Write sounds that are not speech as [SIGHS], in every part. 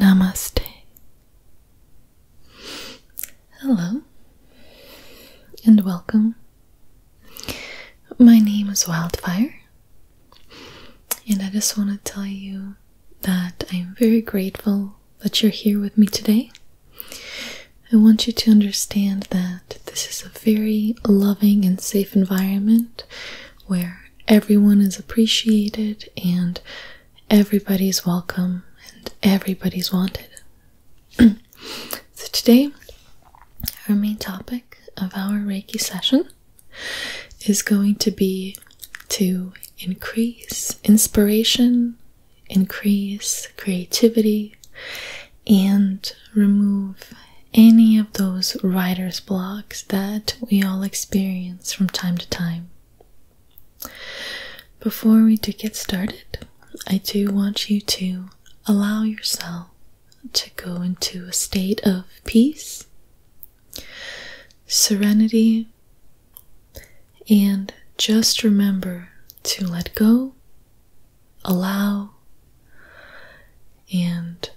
Namaste. Hello and welcome. My name is Wildfire, and I just want to tell you that I am very grateful that you're here with me today. I want you to understand that this is a very loving and safe environment where everyone is appreciated and everybody's welcome and everybody's wanted. [CLEARS THROAT] so, today, our main topic of our Reiki session is going to be to increase inspiration, increase creativity, and remove any of those writer's block that we all experience from time to time. Before we do get started, I do want you to allow yourself to go into a state of peace, serenity, and just remember to let go, allow, and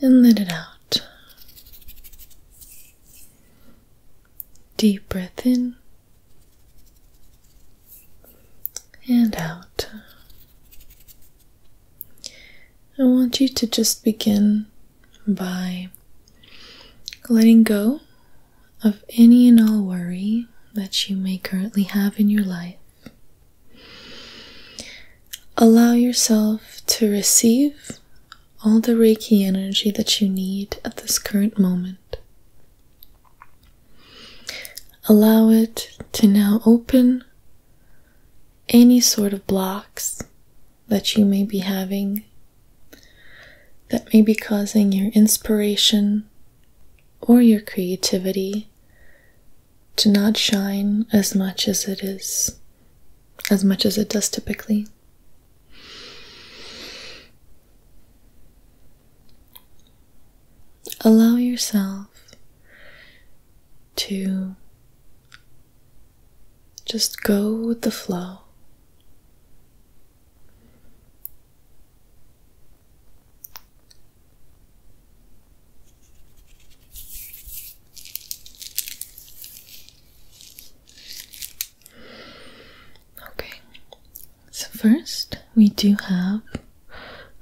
and let it out. Deep breath in and out. I want you to just begin by letting go of any and all worry that you may currently have in your life. Allow yourself to receive all the Reiki energy that you need at this current moment. Allow it to now open any sort of blocks that you may be having that may be causing your inspiration or your creativity to not shine as much as it is, as much as it does typically. Allow yourself to just go with the flow. Okay, so first we do have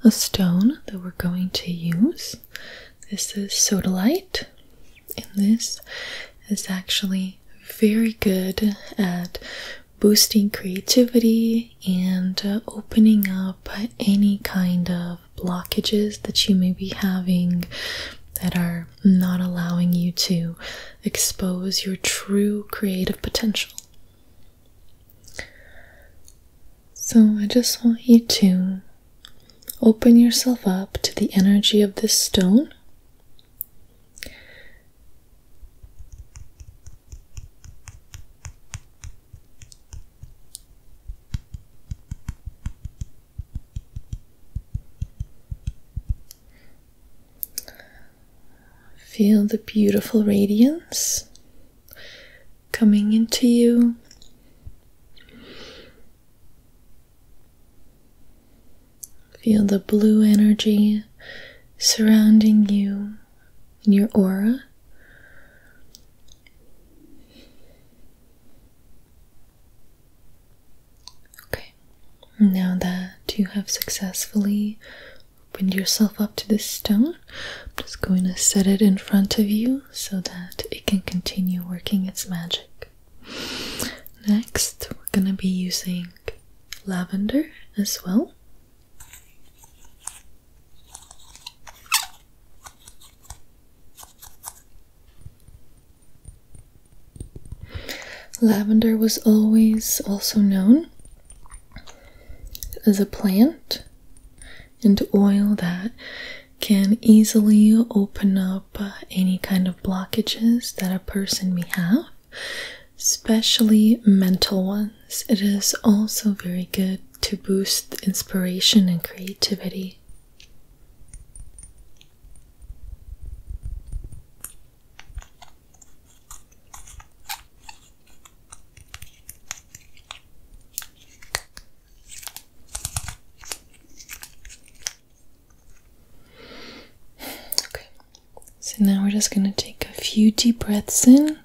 a stone that we're going to use. This is sodalite, and this is actually very good at boosting creativity and uh, opening up but any kind of blockages that you may be having that are not allowing you to expose your true creative potential. So, I just want you to open yourself up to the energy of this stone. Feel the beautiful radiance coming into you. Feel the blue energy surrounding you in your aura. Okay, now that you have successfully opened yourself up to this stone, I'm just going to set it in front of you so that it can continue working its magic. Next, we're going to be using lavender as well. Lavender was always also known as a plant and oil that can easily open up uh, any kind of blockages that a person may have, especially mental ones. It is also very good to boost inspiration and creativity. Okay, so now we're just going to take a few deep breaths in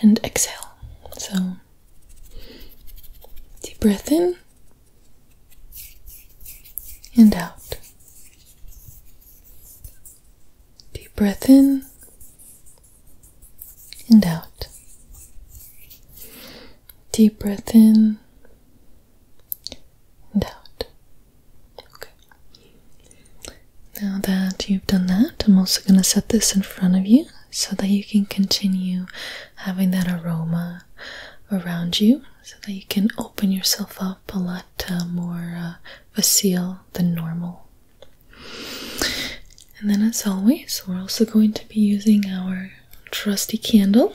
and exhale. So, deep breath in and out. Deep breath in and out. Deep breath in and out. Okay. Now that you've done that, I'm also going to set this in front of you so that you can continue having that aroma around you so that you can open yourself up a lot uh, more uh, facile than normal and then as always we're also going to be using our trusty candle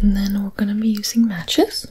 And then we're going to be using matches.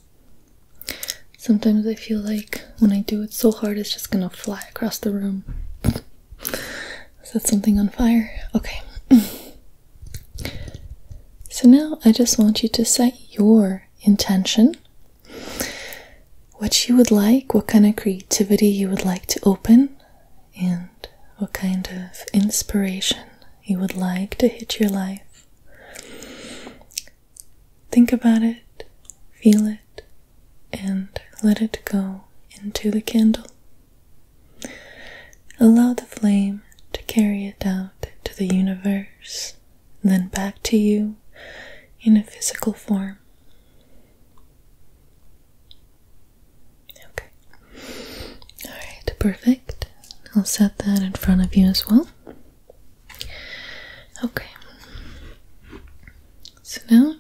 Sometimes I feel like when I do it so hard, it's just gonna fly across the room. Is that something on fire? Okay. [LAUGHS] so now I just want you to set your intention. What you would like, what kind of creativity you would like to open, and what kind of inspiration you would like to hit your life. Think about it, feel it, and let it go into the candle. Allow the flame to carry it out to the universe, then back to you in a physical form. Okay. Alright, perfect. I'll set that in front of you as well. Okay. So now,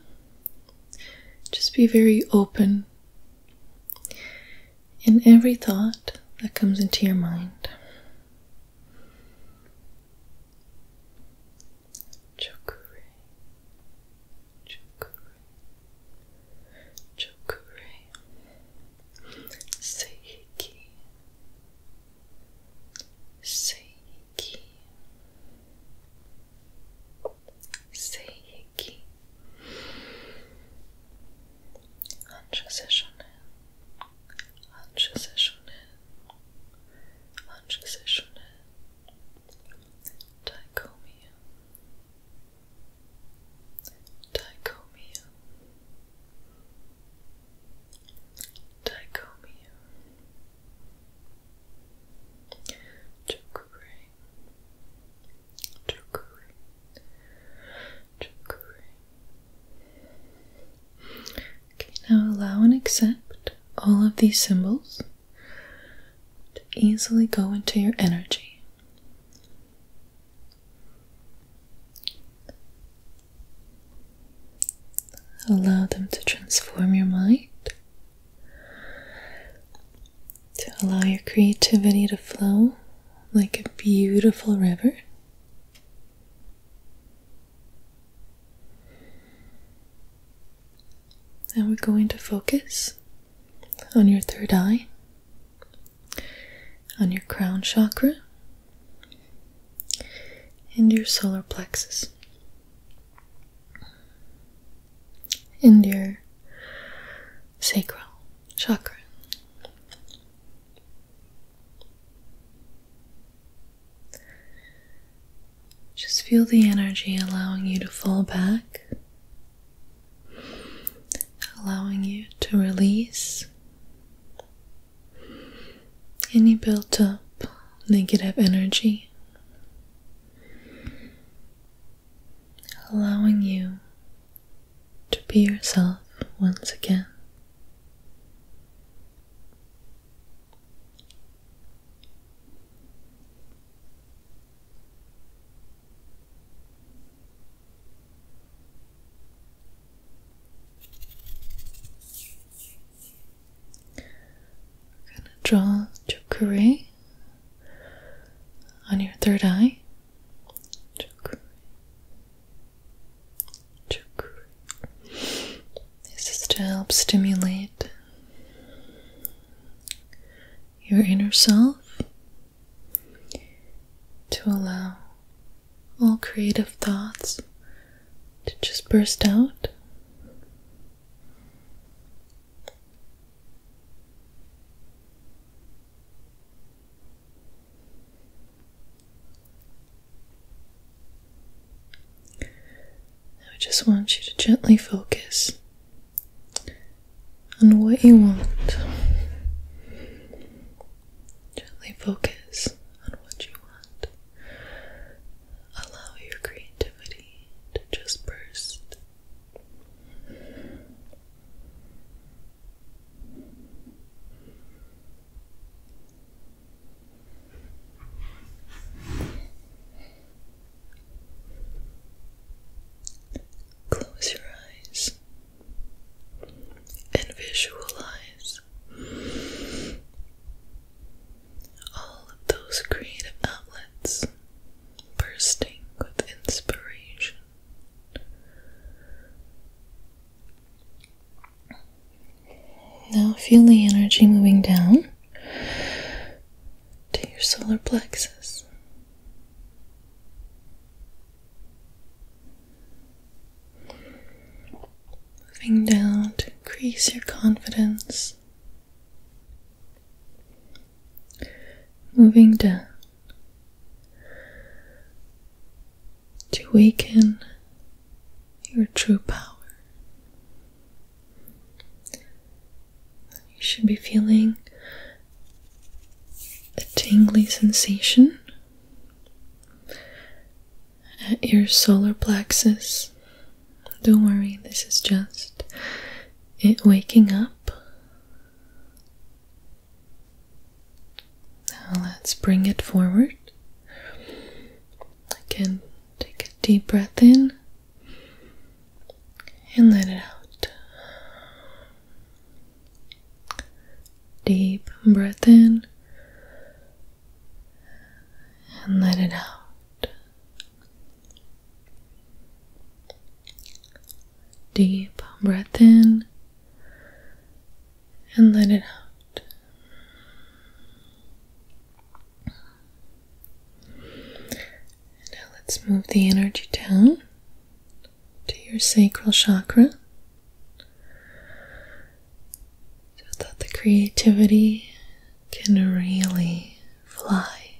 just be very open in every thought that comes into your mind. Chokure, chokure, chokure, seiki, Seiki Seiki Anjaseshonen Anjaseshonen Anjaseshonen Dichomia Dichomia Dichomia, Chukuri, Chukuri, Chukuri. Okay, now allow and accept all of these symbols to easily go into your energy. Allow them to transform your mind, to allow your creativity to flow like a beautiful river. And we're going to focus on your third eye, on your crown chakra, and your solar plexus, and your sacral chakra. Just feel the energy allowing you to fall back, allowing you to release any built up negative energy, allowing you to be yourself once again. I'm going to draw Chokure on your third eye. Chokure. Chokure. This is to help stimulate your inner self to allow all creative thoughts to just burst out. I just want you to gently focus on what you want. Gently focus on what you want. Allow your creativity to just burst. Close your eyes and visualize all of those creative outlets bursting with inspiration. Now feel the energy moving down to your solar plexus. Moving down to increase your confidence. Moving down to awaken your true power. You should be feeling a tingly sensation at your solar plexus. Don't worry, this is just it waking up. Now let's bring it forward. Again, take a deep breath in and let it out. Deep breath in and let it out deep breath in and let it out now let's move the energy down to your sacral chakra so that the creativity can really fly.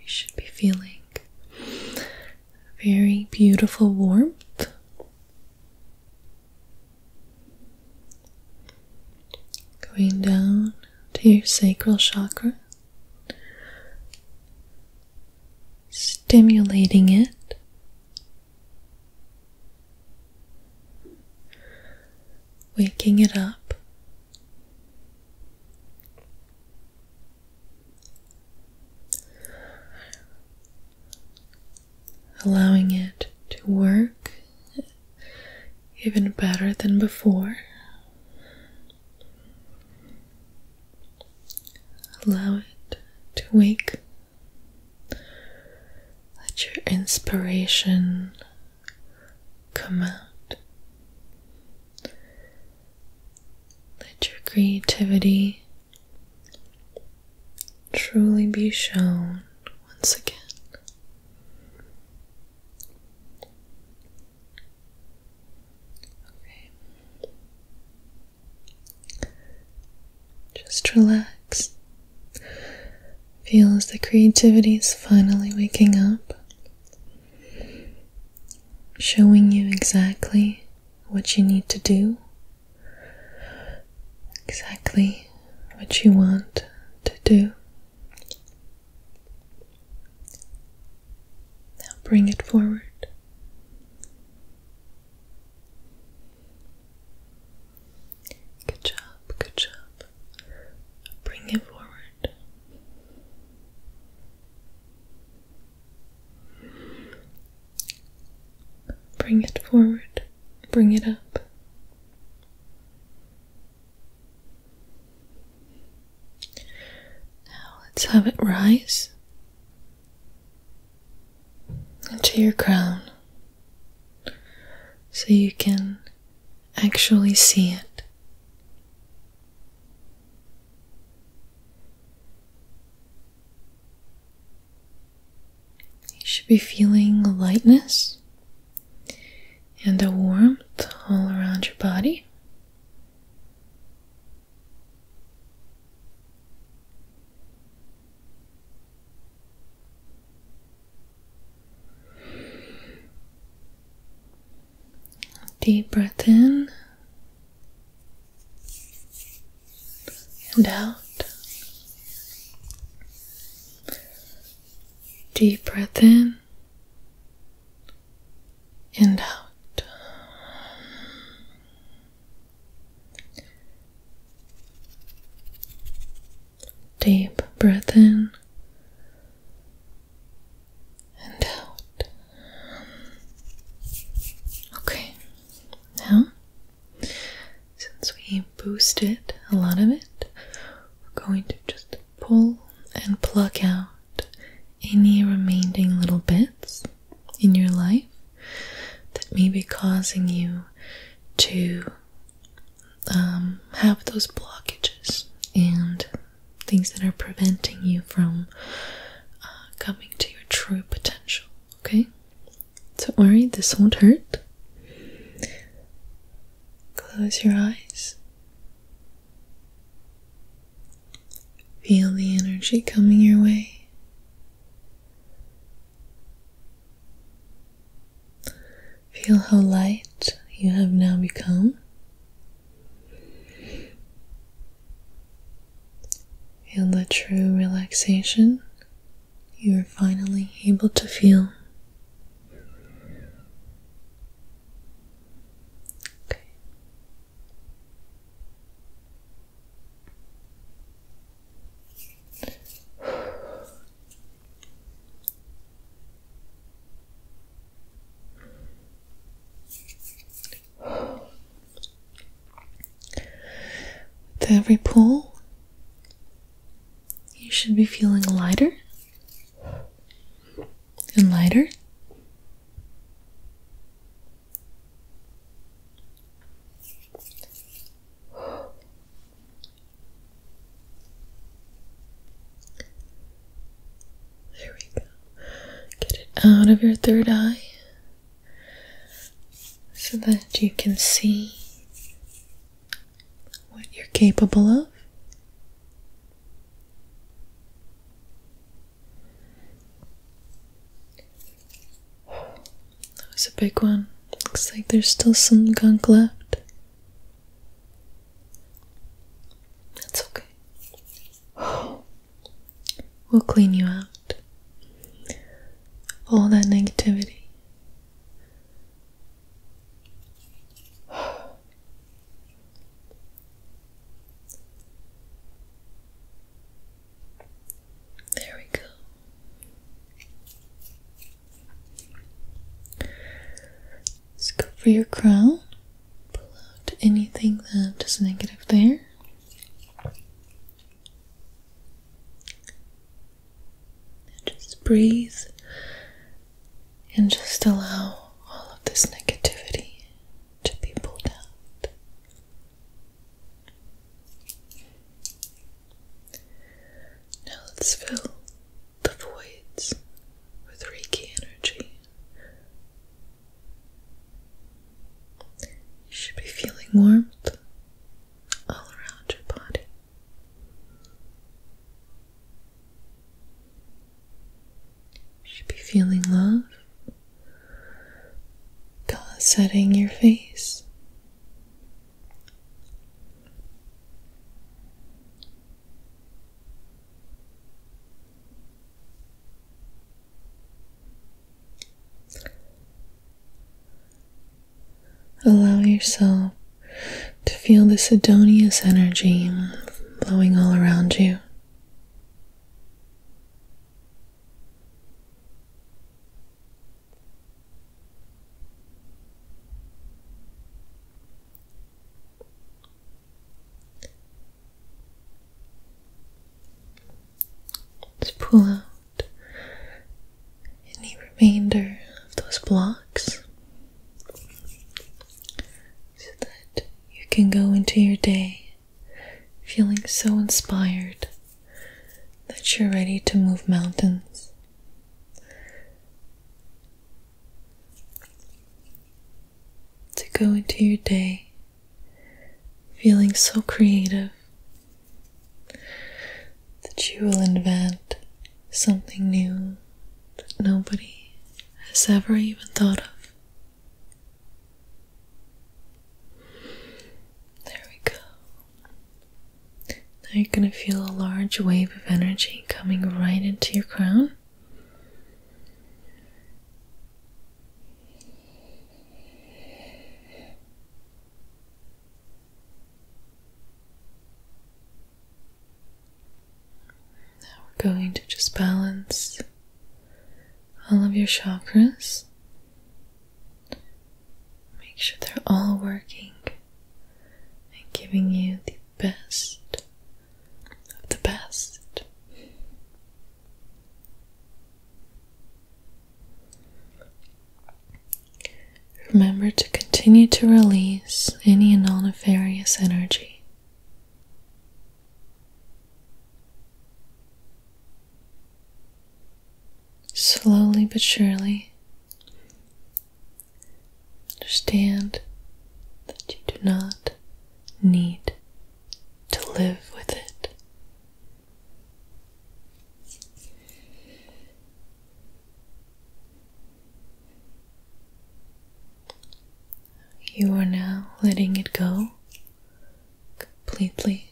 You should be feeling very beautiful warmth. Going down to your sacral chakra, stimulating it waking it up. Allowing it to work even better than before. Allow it to wake let your inspiration come out. Let your creativity truly be shown once again. Okay. Just relax. Feel as the creativity is finally waking up, showing you exactly what you need to do, exactly what you want to do. Now bring it forward. Good job, good job. Bring it forward. Bring it forward. Bring it up. Now let's have it rise into your crown so you can actually see it. You should be feeling lightness and a warmth all around your body. Deep breath in and out. Deep breath in and out. Deep breath in and out. Okay, now since we boosted a lot of it, we're going to just pull and pluck out any remaining little bits in your life that may be causing you to um, have those blockages and things that are preventing you from uh, coming to your true potential. Okay? Don't worry, this won't hurt. Close your eyes. Feel the energy coming your way. Feel how light you have now become. Feel the true relaxation you are finally able to feel. Okay. With every pull, you should be feeling lighter and lighter. There we go. Get it out of your third eye so that you can see what you're capable of. That was a big one. Looks like there's still some gunk left. That's okay. [GASPS] We'll clean you out. All that negativity. [SIGHS] There we go. Let's go for your crown. Pull out anything that is negative there. just breathe and just allow all of this negativity to be pulled out. Now let's fill the voids with Reiki energy. You should be feeling warmth all around your body. You should be feeling love setting your face Allow yourself to feel the Sidonius energy flowing all around you. Just pull out any remainder of those blocks so that you can go into your day feeling so inspired that you're ready to move mountains to go into your day feeling so creative that you will invent something new that nobody has ever even thought of. There we go. Now you're going to feel a large wave of energy coming right into your crown. Now we're going to just balance all of your chakras. Make sure they're all working and giving you the best of the best. Remember to continue to release any non nefarious energy. Slowly but surely, Understand that you do not need to live with it. You are now letting it go completely.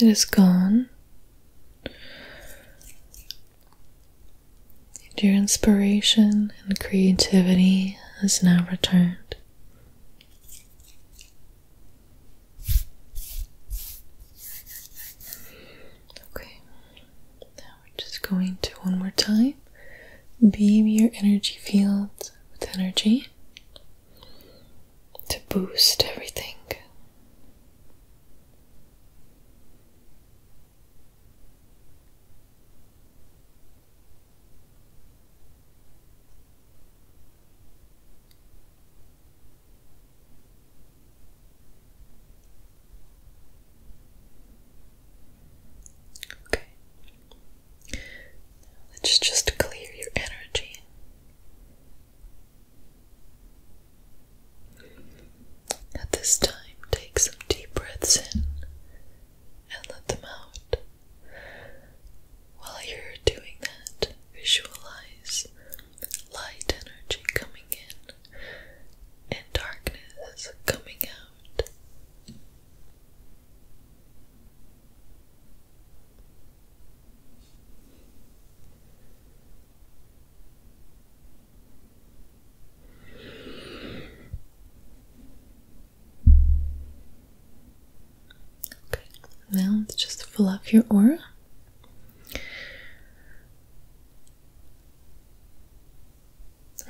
It is gone. And your inspiration and creativity has now returned. Okay, now we're just going to one more time beam your energy field with energy to boost everything. Okay. Let's just clear your energy. At this time, take some deep breaths in and let them out. While you're doing that, visualize light energy coming in and darkness coming out. Okay, now let's just fill up your aura.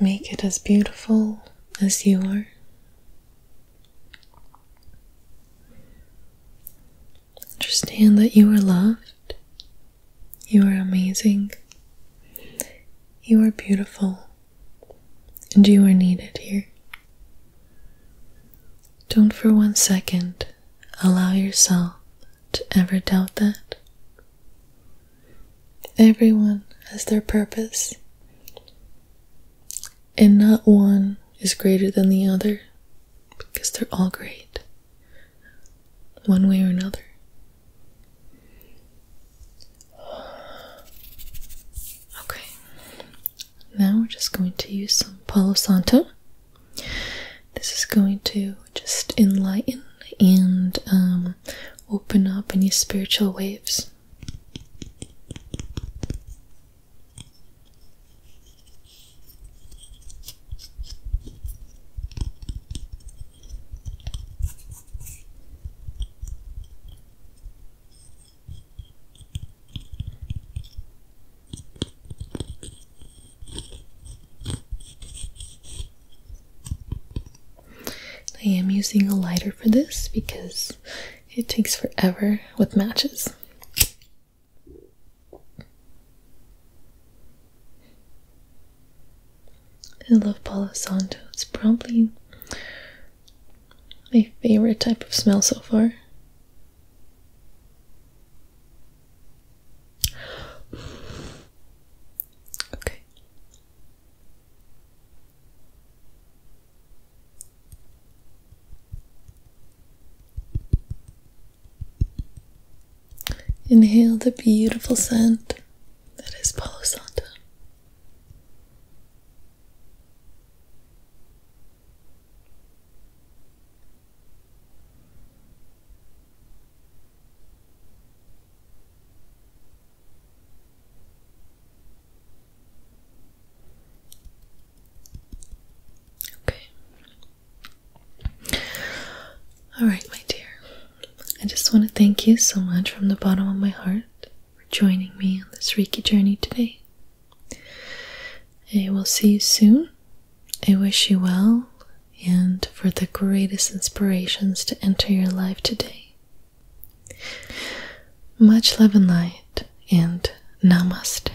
Make it as beautiful as you are. Understand that you are loved, you are amazing, you are beautiful, and you are needed here. Don't for one second allow yourself to ever doubt that. Everyone has their purpose, and not one is greater than the other because they're all great, one way or another. Okay, now we're just going to use some Palo Santo. This is going to just enlighten and um, open up any spiritual waves. I am using a lighter for this because it takes forever with matches. I love Palo Santo. It's probably my favorite type of smell so far. Okay. Inhale the beautiful scent that is Palo Santo. Okay, Alright, my dear. I just want to thank you so much from the bottom of my heart for joining me on this Reiki journey today. I will see you soon. I wish you well and for the greatest inspirations to enter your life today. Much love and light, and namaste.